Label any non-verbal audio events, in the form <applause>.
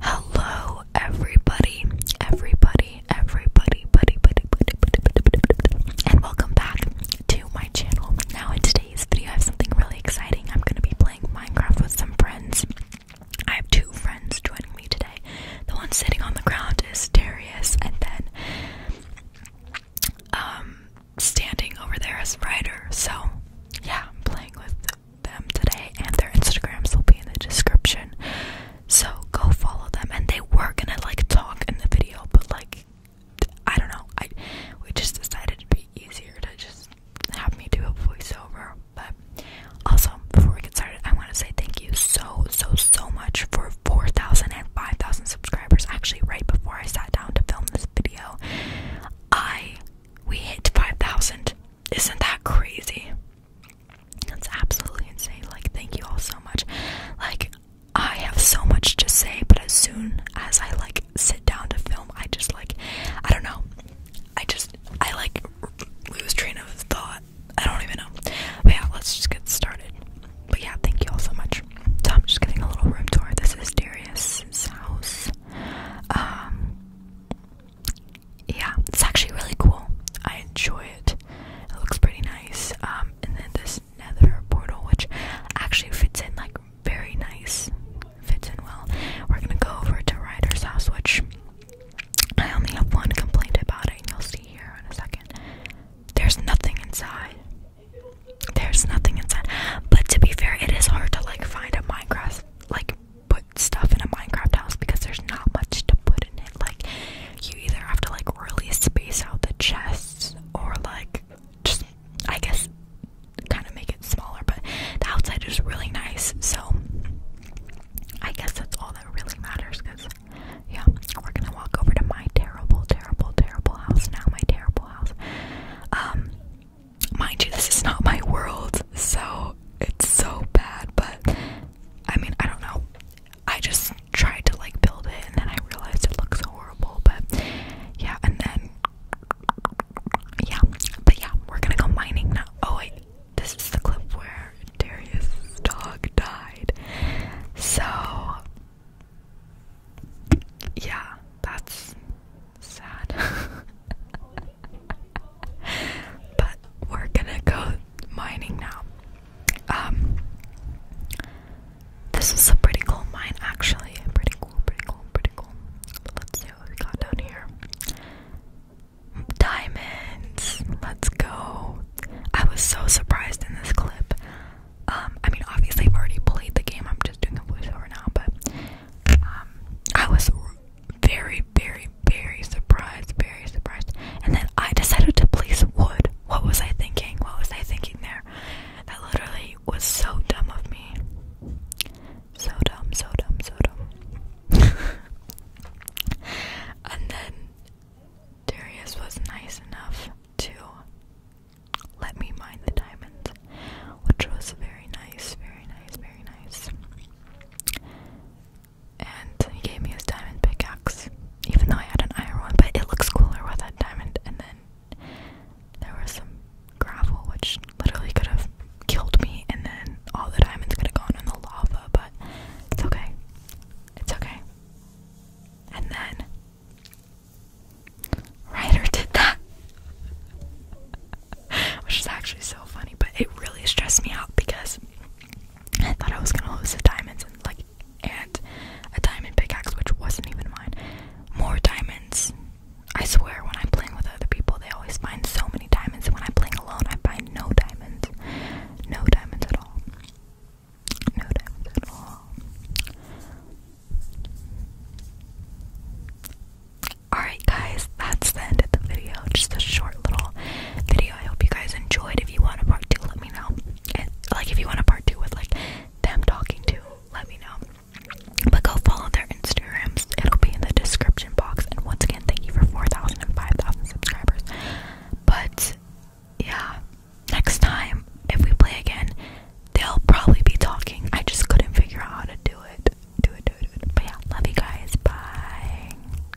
Hello, everybody, everybody, everybody, buddy, buddy, buddy, buddy, buddy, buddy, and welcome back to my channel. Now, in today's video, I have something really exciting. I'm going to be playing Minecraft with some friends. I have two friends joining me today. The one sitting on the ground is Darius, and then um, standing over there is Ryder. So, yeah, I'm playing with them today, and their Instagrams will be in the description. So go follow them, and they were gonna like talk in the video, but like I don't know. I we just decided it'd be easier to just have me do a voiceover. But also, before we get started, I want to say thank you so so so much for 4,000 and 5,000 subscribers. Actually, right before I sat down to film this video, I we hit 5,000. Isn't that crazy? That's absolutely insane. Like, thank you all so much. Like, I have so much to say, but as soon as I like sit down to film, I just like, I don't know. I just, I like lose train of thought. I don't even know. yeah, let's just get started. But yeah, thank you all so much. Tom, just giving a little room tour. This is Darius's house. Um, yeah, it's actually really cool. I enjoy it. It looks pretty nice. Um, and then this nether portal, which actually fits in like very nice, fits in well. We're gonna go over to Ryder's house, which I only have one complaint about it, and you'll see here in a second. There's nothing inside. There's nothing inside. But to be fair, it is hard to like find a Minecraft like put stuff in a Minecraft house because there's not much to put in it. Like you either have to like really space out the chests or like just I guess kind of make it smaller, but the outside is really nice. So I guess that's all that really matters because yeah, we're gonna walk over to my terrible, terrible, terrible house now. My terrible house. Um, mind you, this is not my world, so it's so bad. But I mean, I don't know. I just tried to like build it, and then I realized it looks horrible. But yeah, and then yeah, but yeah, we're gonna go mining now. Oh wait, this is the clip where Darius' dog died. So, yeah, that's sad. <laughs> but we're gonna go mining now. Um, this is a pretty cool mine, actually. Pretty cool, pretty cool, pretty cool. Let's see what we got down here. Diamonds. Let's go. I was so surprised in this clip. Um, I mean, obviously, I've already played the game. I'm just doing the voiceover now, but um, I was very, very, very surprised. Very surprised. And then I decided to place wood. What was I thinking? What was I thinking there? That literally was so dumb of me. So dumb, so dumb, so dumb. <laughs> and then Darius was nice enough to let me mine the diamonds, which was very nice, very nice, very nice. And he gave me his diamond pickaxe, even though I had an iron one, but it looks cooler with that diamond. And then there was some gravel which literally could have killed me and then all the diamonds could have gone in the lava, but it's okay. It's okay. And then Ryder did that. <laughs> Which is actually so funny, but it really stressed me out because I thought I was gonna lose the diamonds and like and a diamond pickaxe, which wasn't even mine. More diamonds. I swear, when I'm playing with other people, they always find so many diamonds, when I'm playing alone, I find no diamonds. No diamonds at all. No diamonds at all. Alright, guys, that's the end of the video. Just a short little video. I hope you guys enjoyed. If you want a part two, let me know like if you want a part two with like them talking to, let me know. But go follow their Instagrams. It'll be in the description box. And once again, thank you for 4,000 and 5,000 subscribers. But yeah, next time if we play again, they'll probably be talking. I just couldn't figure out how to do it. Do it, do it, do it. But yeah, love you guys. Bye.